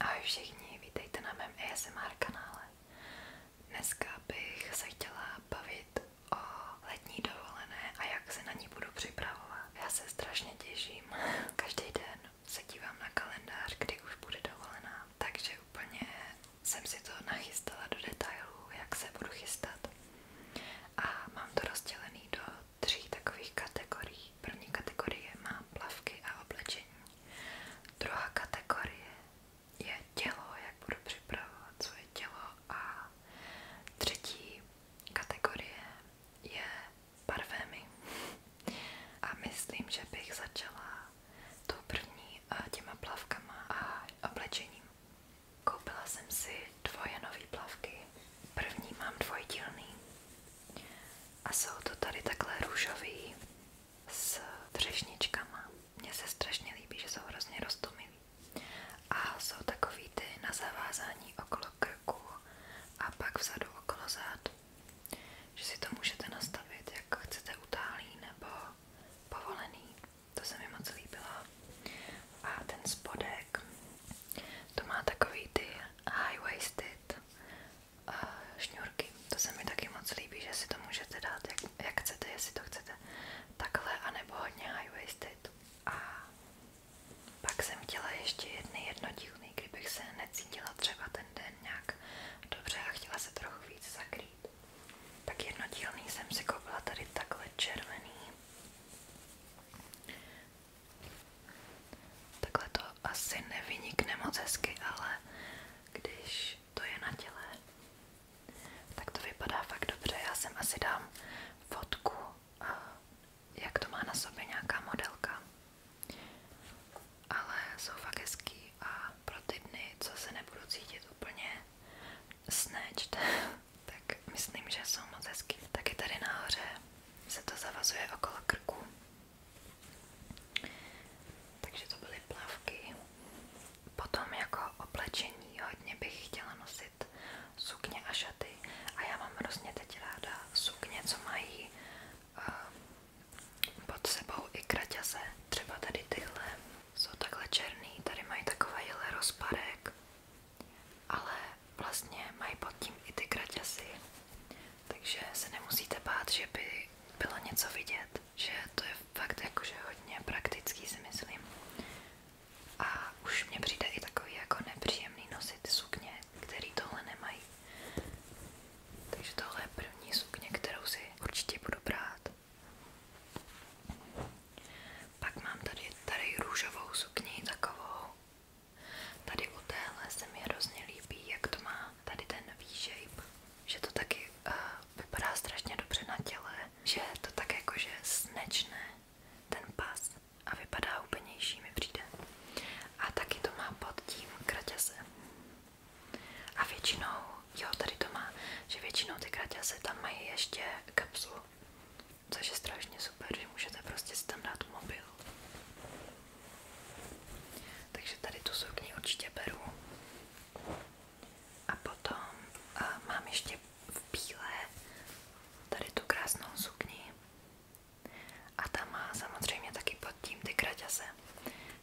Ahoj všichni, vítejte na mém ASMR kanále. Dneska bych se chtěla bavit o letní dovolené a jak se na ní budu připravovat. Já se strašně těším. Každý den se dívám na kalendář, kdy už bude dovolená. Takže úplně jsem si to nachystala do detailů, jak se budu chystat. A mám to rozdělené do tří takových kategorií. První kategorie má plavky a oblečení. Druhá kategorie je tělo, jak budu připravovat svoje tělo a třetí kategorie je parfémy. A myslím, že bych začala tou první eh, těma plavkama a oblečením. Koupila jsem si dvoje nové plavky. První mám dvojdílný a jsou to tady takhle růžový s třešničkama. Mně se strašně líbí, že jsou hrozně roztomilý. A jsou takový ty na zavázání okolo krku a pak vzadu okolo zád. Že si to můžete nastavit, jak chcete utálý nebo povolený. To se mi moc líbilo. A ten spodek, to má takový ty high-waisted šňůrky. To se mi taky moc líbí, že si to můžete dát, jak, jak chcete, jestli to chcete takhle, anebo hodně high-waisted. A pak jsem chtěla ještě jedny jednodílný, kdybych se necítila třeba ten den nějak dobře a chtěla se trochu víc zakrýt. Tak jednodílný jsem si koupila tady takhle červený. Takhle to asi nevynikne moc hezky, ale když to je na těle, tak to vypadá fakt dobře. Já sem asi dám fotku, jak to má na sobě nějaká modelka. Ale jsou fakt hezký a pro ty dny, co se nebudu cítit úplně snatched, tak myslím, že jsou moc hezký. Taky tady nahoře se to zavazuje okolo krku takže to byly plavky. Potom jako oblečení hodně bych chtěla nosit sukně a šaty. A já mám hrozně teď ráda sukně, co mají uh, pod sebou i kraťase. Třeba tady tyhle jsou takhle černý, tady mají takovýhle rozparek, ale vlastně mají pod tím i ty kraťasy takže se nemusíte bát, že by bylo něco vidět, že to je fakt jakože hodně praktický si myslím. A už mě přijde i takový jako nepříjemný nosit sukně, který tohle nemají. Takže tohle je první sukně, kterou si určitě budu brát. Pak mám tady, tady růžovou sukni, takovou. Tady u téhle se mi hrozně líbí, jak to má tady ten V-shape, že to taky uh, vypadá strašně dobře na těle, že je to tak jakože snečné ten pas a vypadá úplnější mi přijde. A taky to má pod tím kraťasem. A většinou, jo tady to má, že většinou ty kraťasy tam mají ještě kapsulu, což je strašně super, že můžete prostě si tam dát mobil. Takže tady tu sukni určitě A potom mám ještě v bílé tady tu krásnou sukni. A ta má samozřejmě taky pod ty kraťase.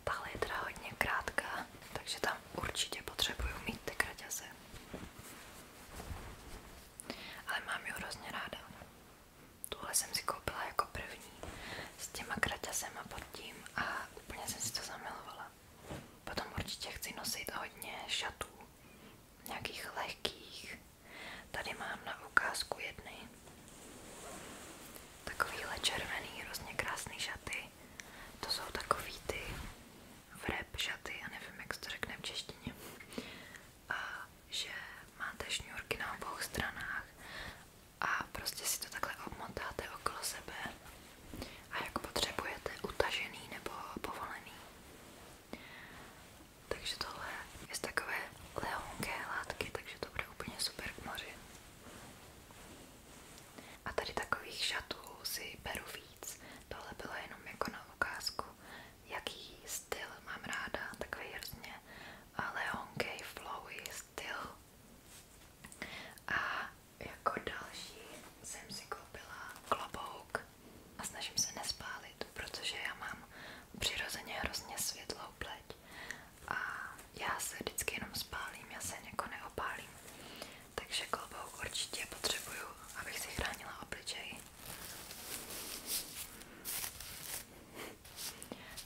Tahle je teda hodně krátká, takže tam určitě potřebuju mít ty kraťase. Ale mám ji hrozně ráda. Tuhle jsem si koupila jako první s těma kraťasema pod tím a úplně jsem si to zamilovala. Potom určitě chci nosit hodně šatů, nějakých lehkých. Tady mám na ukázku jedny. Takovýhle červený, hrozně krásný šaty. To jsou takový ty vrep šaty, já nevím, jak se to řekne v češtině. A že máte šňůrky na obou stranách a prostě si to takhle obmotáte okolo sebe a jak potřebujete, utažený nebo povolený. Takže tohle je z takové lehonké látky, takže to bude úplně super k moři. A tady takových šatů si beru víc. Tohle bylo jenom jako na ukázku, jaký styl mám ráda, takový hrozně eh, lehonkej, flowy, styl. A jako další jsem si koupila klobouk a snažím se nespálit, protože já mám přirozeně hrozně světlou pleť a já se vždycky jenom spálím, já se jako neopálím. Takže klobouk určitě potřebuju, abych si chránila obličej.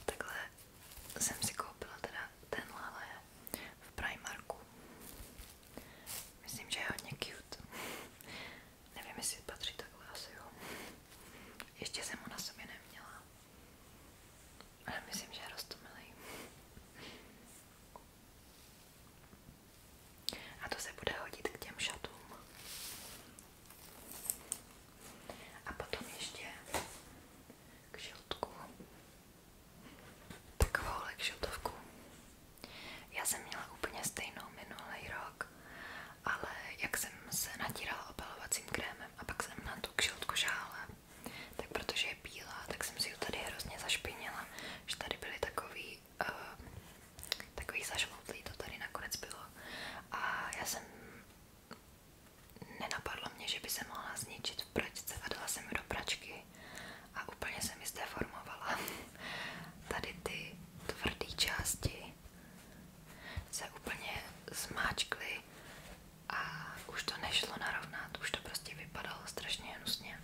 Takhle jsem si koupila teda tenhle v Primarku. Myslím, že je hodně cute. Nevím, jestli patří takhle, asi jo. Ještě jsem ho na sobě neměla. Ale myslím, že je roztomilý. A to se bude hodit k těm šatům. A potom ještě k žiltku takovouhle kšiltovku. Já jsem měla úplně stejnou minulý rok, ale jak jsem se natírala opalovacím krémem a pak jsem na tu kšiltku žála, tak protože je bílá, tak jsem si ji tady hrozně zašpinila, že tady byly takový, uh, takový zažloutlý, to tady nakonec bylo. A já jsem nenapadlo mě, že by se mohla zničit v pračce a dala jsem ji do pračky a úplně se mi zdeformovala. Tady ty tvrdé části se úplně zmáčkly a už to nešlo narovnat, už to prostě vypadalo strašně hnusně.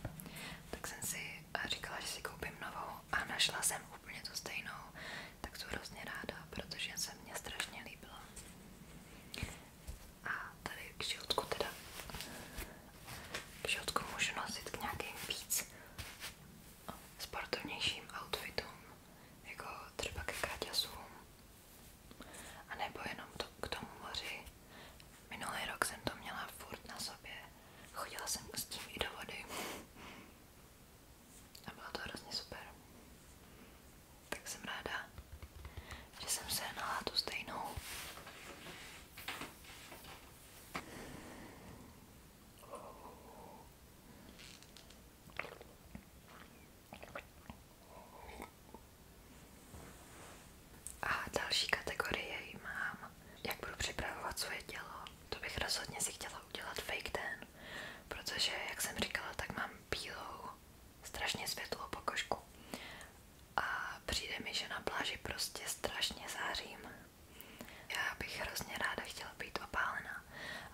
Tak jsem si říkala, že si koupím novou a našla jsem úplně tu stejnou, tak jsem hrozně ráda, protože se mě strašně líbila. A tady k životku teda, k životku můžu nosit k nějakým víc sportovnějším outfitům, jako třeba ke kraťasům, a nebo jenom to, k tomu moři. Minulý rok jsem to měla furt na sobě, chodila jsem s tím i do vody a bylo to hrozně super tak jsem ráda, že jsem sehnala tu stejnou. A další kategorie mám, jak budu připravovat svoje tělo. To bych rozhodně si chtěla udělat fake den, protože, jak jsem říkala, tak mám bílou strašně světlou pokožku a přijde mi, že na pláži prostě strašně zářím. Já bych hrozně ráda chtěla být opálená,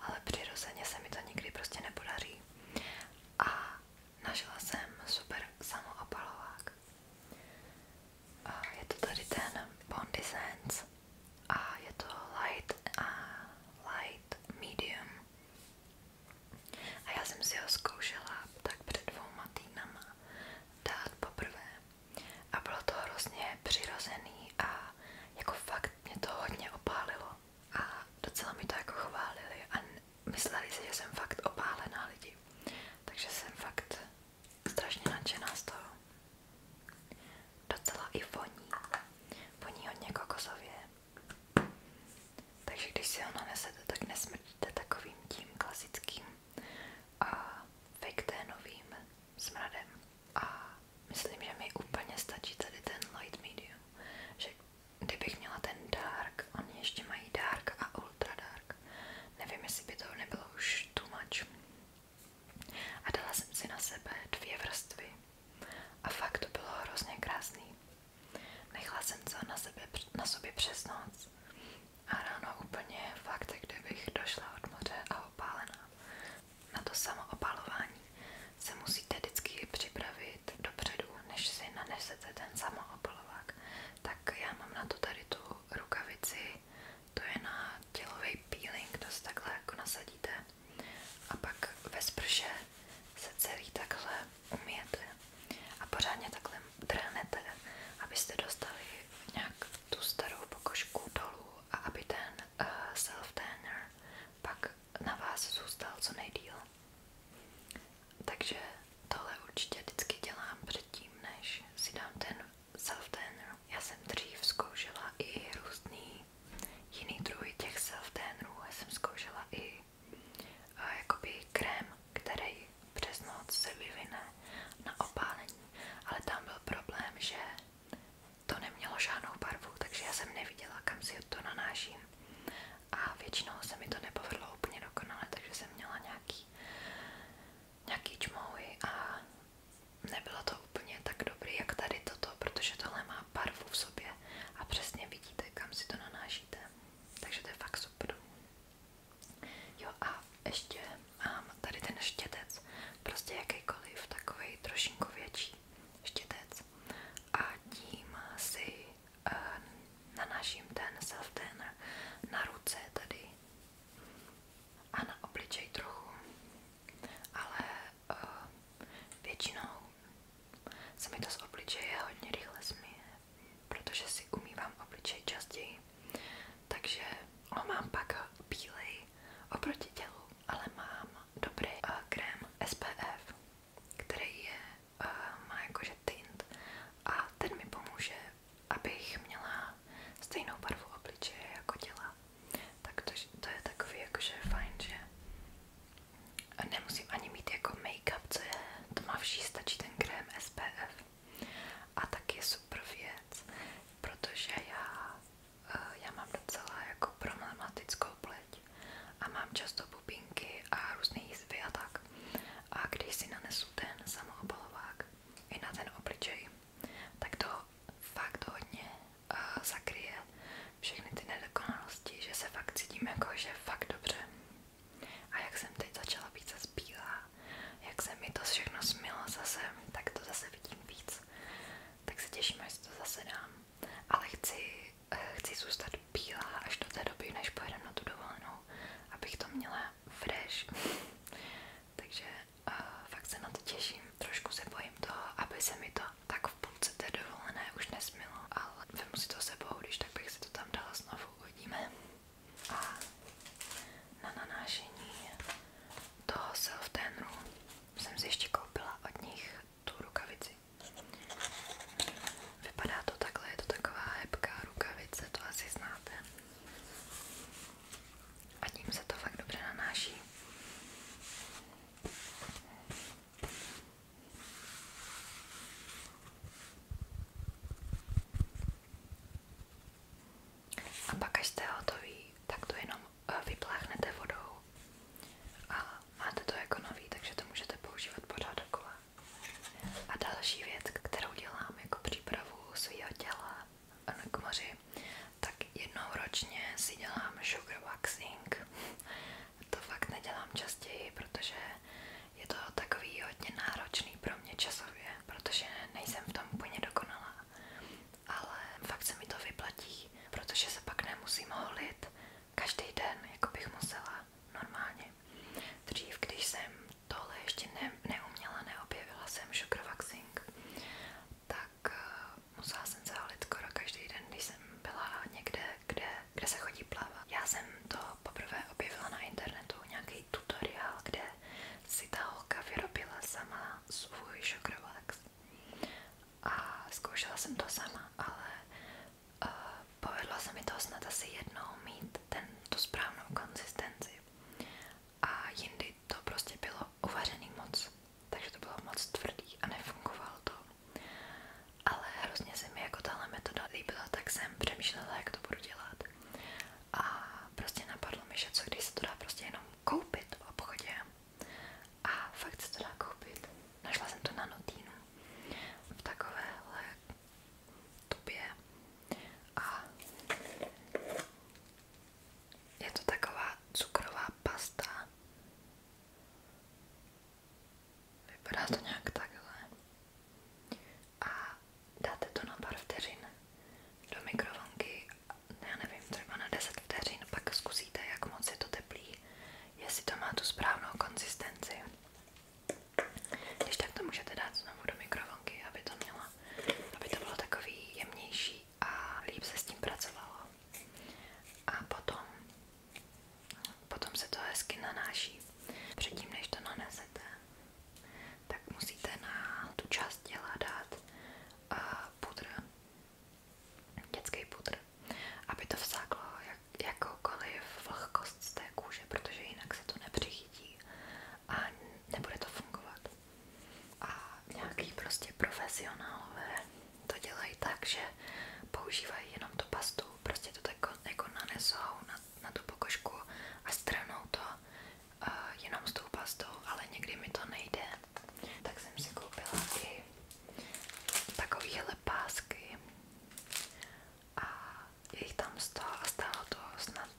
ale přirozeně se mi to nikdy prostě nepodaří. A našla jsem super samoopalovák. A je to tady ten Bondi Sands a je to light light medium a já jsem si ho zkoušela tak před dvouma týdnama dát poprvé. A bylo to hrozně přirozený a jako fakt mě to hodně opálilo. A docela mi to jako chválili a mysleli si, že jsem fakt opálená lidi. Takže jsem fakt strašně nadšená z toho. Docela i voní. Voní hodně kokosově. Takže když si ho nanesete, tak nesmrdíte takovým tím klasickým a fake novým smradem. A myslím, že mi úplně stačí tady ten light medium, že kdybych měla ten dark, oni ještě mají dark a ultra dark. Nevím, jestli by to nebylo už too much. A dala jsem si na sebe dvě vrstvy. A fakt to bylo hrozně krásný. Nechla jsem to na, sebe, na sobě přes noc a ráno úplně fakt, kdybych došla od moře a opálená. Na to samoopalování se musíte vždycky připravit dopředu, než si nanesete ten samoopalovák. Tak já mám na to tady tu rukavici, to je na tělový peeling, to si takhle jako nasadíte a pak ve sprše se celý takhle umijete a pořádně takhle trhnete, abyste dostali nějak tu starou pokožku dolů a aby ten uh, eh, self-tanner pak na vás zůstal co nejdíl. Takže tohle určitě vždycky dělám předtím, než si dám ten self-tanner. Já jsem dřív zkoušela i různý jiný druhy těch self-tannerů. Já jsem zkoušela i jakoby krém, který přes noc se vyvine na opálení, ale tam byl problém, že to nemělo žádnou barvu, takže já jsem neviděla, kam si to nanáším a většinou se mi to nepovedlo úplně dokonale, takže jsem měla nějaký, nějaký čmouhy a nebylo to úplně tak dobrý, jak tady toto, protože tohle má má barvu v sobě a přesně vidíte, kam si to nanášíte. Takže to fakt super. Jo a ještě mám tady ten štětec, prostě jakýkoliv, takový trošinku větší štětec a tím si uh, nanáším ten self tanner na ruce tady a na obličej trochu, ale eh, většinou se mi to z obličeje hodně rychle směje, protože si umývám obličej častěji, takže ho mám pak bílej oproti tělu, ale mám dobrý uh, krém SPF, který je, uh, má jakože tint a ten mi pomůže, abych měla stejnou barvu obličeje jako těla. Tak to, to je takový jakože fajn, že Nemusím ani mít jako make-up, co je tmavší, stačí ten krém SPF. A tak je super věc, protože já, eh, já mám docela jako problematickou pleť a mám často pupinky a různé jizvy a tak. A když si nanesu ten samoobalovák i na ten obličej, tak to fakt hodně uh, zakryje všechny ty nedokonalosti, že se fakt cítím jako, že fakt dobře. A jak jsem teď začala více zbílá, jak se mi to všechno smilo zase, tak to zase vidím víc. Tak se těším, až to zase dám. Ale chci, eh, chci zůstat bílá až do té doby, než pojedem na tu dovolenou, abych to měla fresh. Takže uh, fakt se na to těším. Trošku se bojím toho, aby se mi to tak v půlce té dovolené už ne nesmilo, ale vemu si to sebou, když tak bych si to tam dala znovu, uvidíme. A na nanášení toho self tanru jsem si ještě koupila od nich tu rukavici. Vypadá to takhle, je to taková hebká rukavice, to asi znáte. A tím se to fakt dobře nanáší. A pak, až jste hotový, tak to jenom eh, vypláchnete vodou a máte to jako nový, takže to můžete používat pořád dokola. A další věc, kterou dělám jako přípravu svého těla eh, k moři, tak jednou ročně si dělám sugar waxing to fakt nedělám častěji, protože je to takový hodně náročný pro mě časově, protože nejsem v tom úplně dokonalá. Ale fakt se mi to vyplatí, protože se pak nemusím holit každý den, jako bych musela normálně. Dřív, když jsem tohle ještě ne, neuměla, neobjevila jsem šukrovaxing, tak eh, musela jsem se holit skoro každý den, když jsem byla někde kde, kde se chodí plavat. Já jsem to poprvé objevila na internetu, nějaký tutoriál, kde si ta holka vyrobila sama svůj shock A zkoušela jsem to sama, ale uh, povedlo se mi to snad asi jednou mít ten, tu správnou konzistenci. A jindy to prostě bylo uvařený moc, takže to bylo moc tvrdý a nefungovalo ale hrozně se mi jako tahle metoda líbila, tak jsem přemýšlela, jak to budu dělat. A prostě napadlo mi, že co když se to dá prostě jenom koupit v obchodě. A fakt se to dá koupit. Našla jsem to na Notínu. V takovéhle tubě. A je to taková cukrová pasta. Vypadá to nějak takhle. A dáte to na pár do mikrovlnky, já nevím, třeba na 10 vteřin, pak zkusíte, jak moc je to teplý, jestli to má tu správnou konzistenci. Když tak to můžete dát do mikrovlnky, aby to mělo, aby to bylo takový jemnější a líp se s tím pracovalo. A potom Potom se to hezky nanáší. Předtím, než to nanesete, tak musíte na tu část těla dát uh, dětský pudr, aby to vsáklo jak, jakoukoliv vlhkost z té protože jinak se to nepřichytí a nebude to fungovat. A nějaký prostě profesionálové to dělají tak, že používají jenom tu pastu, prostě to tak jako nanesou na, na tu pokožku a stranou to uh, jenom s tou pastou, ale někdy mi to nejde. Tak jsem si koupila i takovéhle pásky a je jich tam 100 a stálo to snad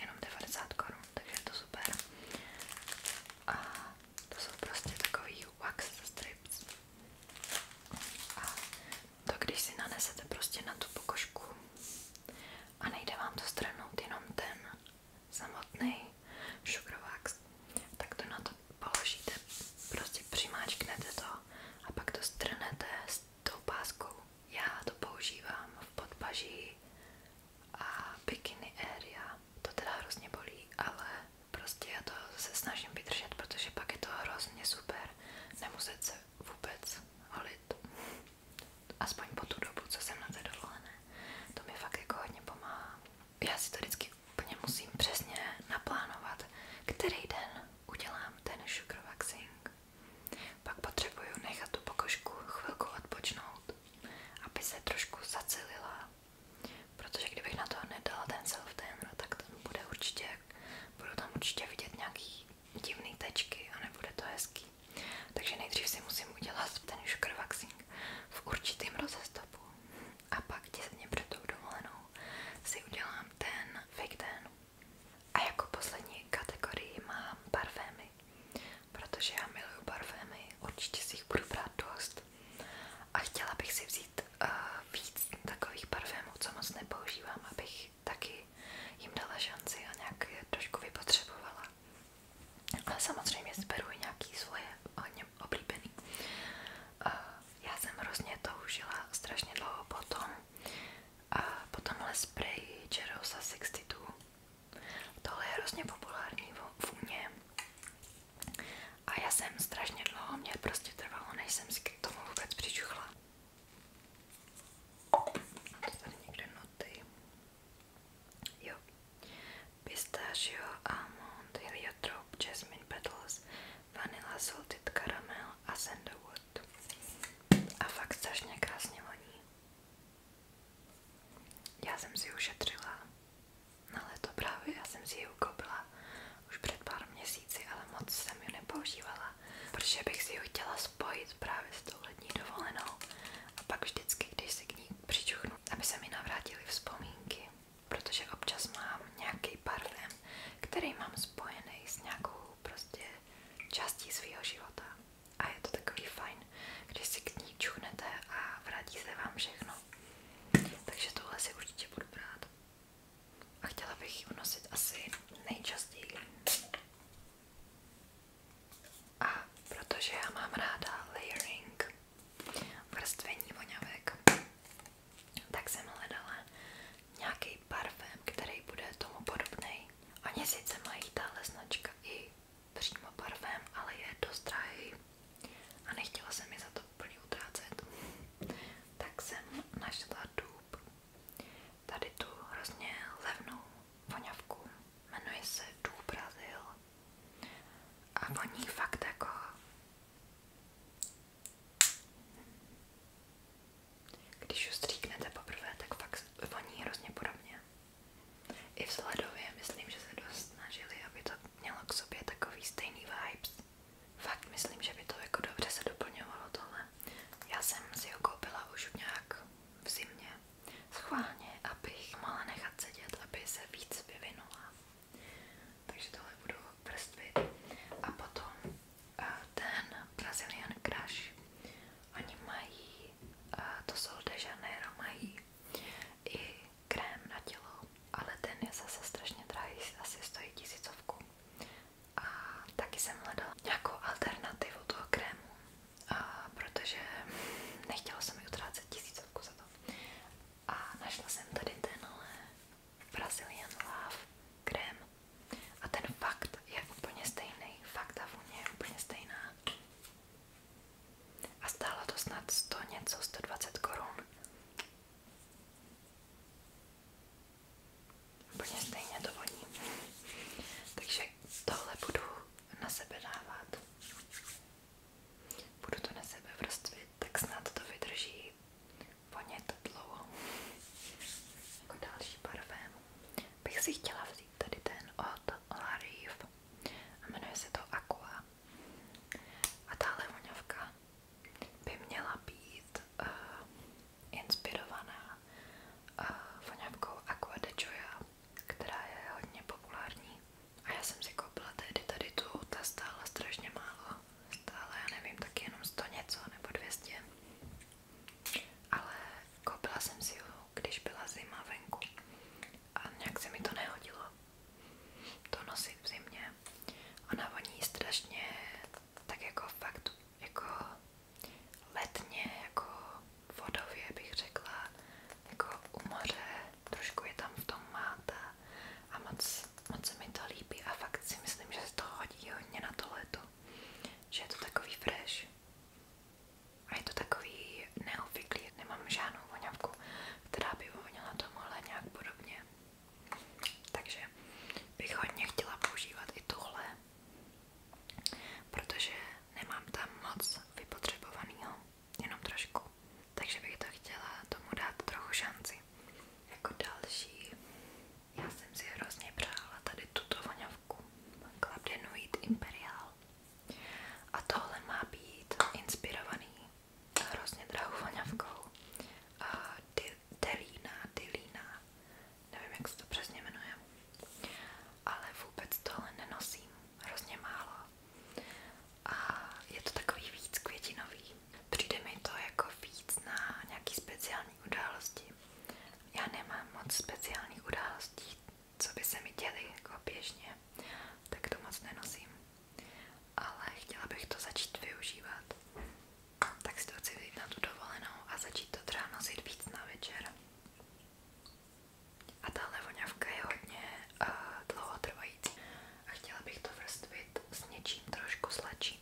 jenom 90 korun, takže je to super. A to jsou prostě takový wax strips. A to když si nanesete prostě na tu pokožku a nejde vám to strhnout jenom ten samotný šukrovax, tak to na to položíte, prostě přimáčknete to a pak to strhnete s tou páskou. Já to používám v podpaží a bikini area. To teda hrozně bolí, ale prostě to se snažím vydržet, protože pak je to hrozně super nemuset se vůbec holit. Aspoň po tu dobu, co jsem na té dovolené. To mi fakt jako hodně pomáhá. Já si to vždycky úplně musím přesně naplánovat, který den udělám ten sugar waxing. Pak potřebuju nechat tu pokožku chvilku odpočnout, aby se trošku zacelila. Protože kdybych na to nedala ten self-tanner, tak tam bude určitě, budu tam určitě vidět nějaký divné tečky a nebude to hezký. Takže nejdřív si musím udělat ten sugar waxing v určitým rozestupu a pak těsně před tou dovolenou si udělám ten fake ten. A jako poslední kategorii mám parfémy, protože já miluju parfémy, určitě si jich budu brát dost a chtěla bych si vzít uh, víc takových parfémů, co moc nepoužívám, abych taky jim dala šanci a nějak je trošku vypotřebovala. Ale samozřejmě zberu i nějaký svoje hodně oblíbený. Já jsem hrozně toužila strašně dlouho potom a potomhle spray Jerosa 62. Tohle je hrozně populární v vůně. A já jsem strašně dlouho, mě prostě trvalo, než jsem si k tomu vůbec přičuchla. To tady někde noty. Jo. Pistachio, almond, heliotrop, jasmine petals, vanilla, salted caramel a sandalwood. A fakt strašně krásně voní. Já jsem si ušetřila na leto právě, já jsem si ji ukoupila už před pár měsíci měsíci, ale moc jsem ji nepoužívala, protože bych si ji chtěla spojit právě s tou lední dovolenou a pak vždycky, když si k ní přičuchnu, aby se mi navrátily vzpomínky, protože občas mám nějaký parfém, který mám spojený s nějakou prostě částí svého života a je to takový fajn, když si k ní čuchnete a vrátí se vám všechno. Takže tohle si určitě budu brát a chtěla bych ji unosit asi nejčastěji. A protože já mám ráda layering, vrstvení voňavek, tak jsem hledala nějaký parfém, který bude tomu podobný. Oni sice mají tahle značka i přímo parfém, ale je dost drahý a nechtěla jsem mi za to úplně utrácet. Tak jsem našla dub tady tu hrozně levnou voňavku. Jmenuje se Du Brazil. A voní fakt jako když ju stříknete poprvé, tak fakt voní hrozně podobně. I v sledově myslím, že se dost snažili, aby to mělo k sobě takový stejný vibes. Fakt myslím, že by to jako dobře se doplňovalo tohle. Já jsem si ho koupila už nějak v zimě, schválně, abych mohla nechat sedět, aby se víc vyvinula. Takže tohle budu prstvit. A potom eh, ten Brazilian Crush. Oni mají, eh, to jsou de Janeiro, mají i krém na tělo, ale ten je zase strašně drahý, asi stojí tisícovku. A taky jsem hledala nějakou alternativu toho krému, a protože nechtěla jsem mi utrácet tisícovku za to. A našla jsem tady tenhle eh, Brazilian Love krém. A ten fakt je úplně stejný. Fakt ta vůně je úplně stejná. A stálo to snad 100 něco, 120 korun. Úplně stejně to voní. Takže tohle budu na sebe dávat. Budu to na sebe vrstvit, tak snad to vydrží vonět dlouho. Jako další parfém bych si chtěla vzít tady ten od Larif a jmenuje se to Aqua. A tahle voňavka by měla být uh, inspirovaná uh, voňavkou Aqua de Joya, která je hodně populární. A já jsem si koupila tehdy tady tu, ta stála strašně málo. Stála, já nevím, tak jenom 100 něco nebo 200. Ale koupila jsem si ho, když byla zima venku. A nějak se mi to nehodilo. To nosit v zimě. Ona voní strašně tak jako fakt jako letně, jako vodově bych řekla, jako u moře, trošku je tam v tom máta a moc, moc se mi to líbí a fakt si myslím, že se to hodí hodně na to leto, že je to takový fresh a je to takový neobvyklý, nemám žádnou voňavku, která by voněla tomuhle nějak podobně. Takže bych hodně chtěla používat i tuhle protože nemám tam moc vypotřebovaného, jenom trošku. Takže bych to chtěla tomu dát trochu šanci. Jako další, já jsem si hrozně přála tady tuto voňavku. Klapdenuit Imperial. A tohle má být inspirovaný hrozně drahou voňavkou. Dilína, Dilína nevím, jak to přesně ale vůbec tohle nenosím, hrozně A je to takový víc květinový. Přijde to jako víc na nějaký speciální události. Já nemám moc speciálních událostí, co by se mi děli jako běžně, tak to moc nenosím. Ale chtěla bych to začít využívat. Tak si na tu dovolenou a začít to třeba nosit víc na večer. A tahle voňavka je hodně uh, dlouhotrvající a chtěla bych to vrstvit s něčím trošku sladším,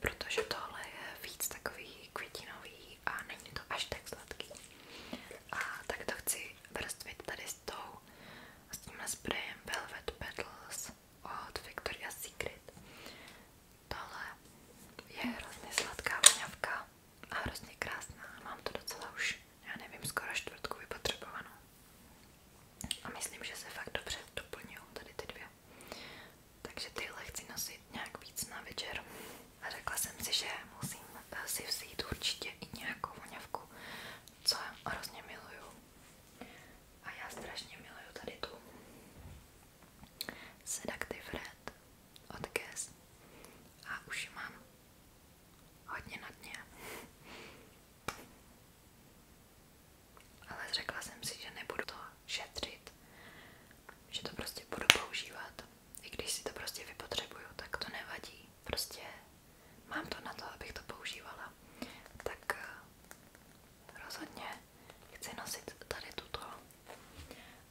protože tohle je víc takový květinový a není to až tak sladký. A tak to chci vrstvit tady s tou, s tímhle sprejem Velvet Petals od Victoria's Secret. Tohle je hrozně sladká voňavka a hrozně krásná. Mám to docela už, já nevím, skoro čtvrtku vypotřebovanou. A myslím, že se fakt dobře doplňují tady ty dvě. Takže tyhle chci nosit nějak víc na večer. A řekla jsem si, že musím eh, si vzít určitě i nějakou voňavku, co hrozně miluju. A já strašně miluju tady tu Seductive Red od Guess a už mám hodně na dně. Ale řekla jsem si, že nebudu to šetřit, že to prostě budu používat. I když si to prostě vypotřebuju, tak to nevadí. Prostě mám to na to, abych to používala. Tak eh, rozhodně chci nosit tady tuto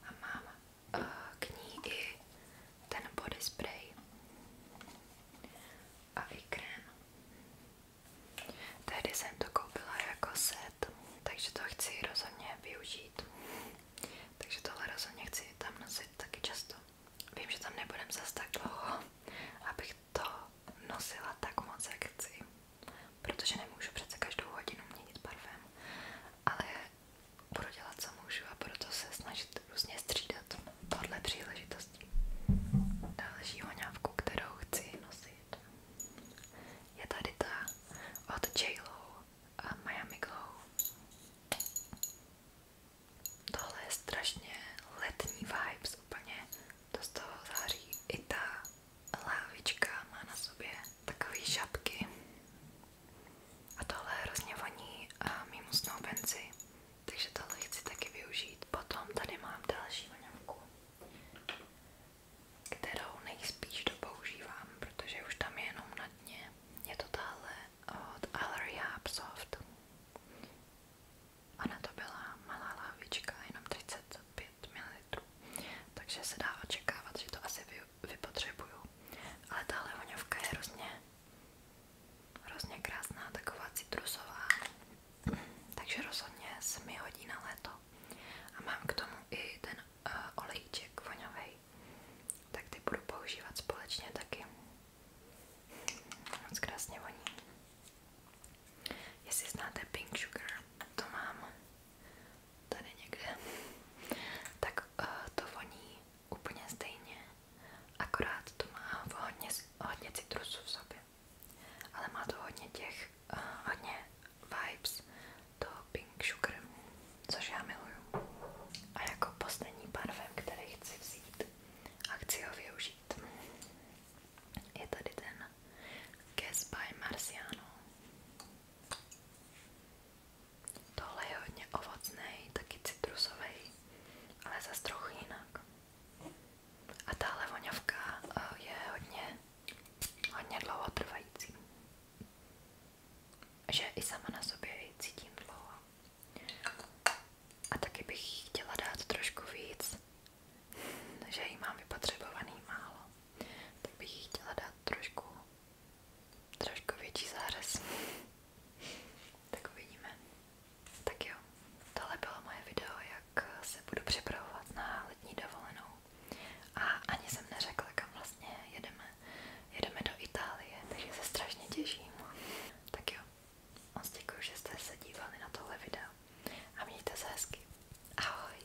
a mám Eh, k ní i ten body spray a i krém. Tehdy jsem to koupila jako set, takže to chci rozhodně využít. Takže tohle rozhodně chci tam nosit taky často. Vím, že tam nebudem zas tak dlouho, abych to nosila tak moc, jak chci protože nemůžu přece každou hodinu měnit parfém, ale budu dělat, co můžu a proto se snažit různě střídat podle příležitostí. Další hoňávku, kterou chci nosit, je tady ta od j a Miami Glow. Tohle je strašně letní vibes úplně, to z toho září i ta lávička má na sobě takové šapky a tohle hrozně a mimo snoubenci, takže tohle chci taky využít. Potom tady mám další voňavku, kterou nejspíš dopoužívám, protože už tam jenom na dně. Je to tahle od Allery Soft. Ona to byla malá lávička, jenom 35 ml, takže se dá očekávat, že to asi využívám vypotřebuju. Ale tahle voňavka je hrozně, hrozně krásná, taková citrusová. Takže rozhodně se mi hodí na léto. A mám k tomu i ten uh, olejček voňavej. Tak ty budu používat společně taky. Moc krásně voní. Jestli znáte Pink Sugar, to mám tady někde, tak uh, to voní úplně stejně, akorát to má hodně, hodně citrusů v sobě, ale má to hodně těch, uh, hodně vibes do Pink Sugar, což já miluju. A jako poslední parfém, který chci vzít a chci ho využít, je tady ten Guess by Marciano. Tohle je hodně ovocný, taky citrusový, ale zase trochu jinak. A tahle voňavka eh, je hodně, hodně dlouho trvající. Že i sama na sobě ji cítím dlouho. A taky bych chtěla dát trošku víc, že jí mám vypotřebovaný málo. Tak bych jí chtěla dát trošku trošku větší zářez. tak uvidíme. Tak jo, tohle bylo moje video, jak se budu připravovat na letní dovolenou. A ani jsem neřekla, kam vlastně jedeme. Jedeme do Itálie, takže se strašně těším. Tak jo, moc děkuji, že jste se dívali na tohle video. A mějte se hezky. Ahoj.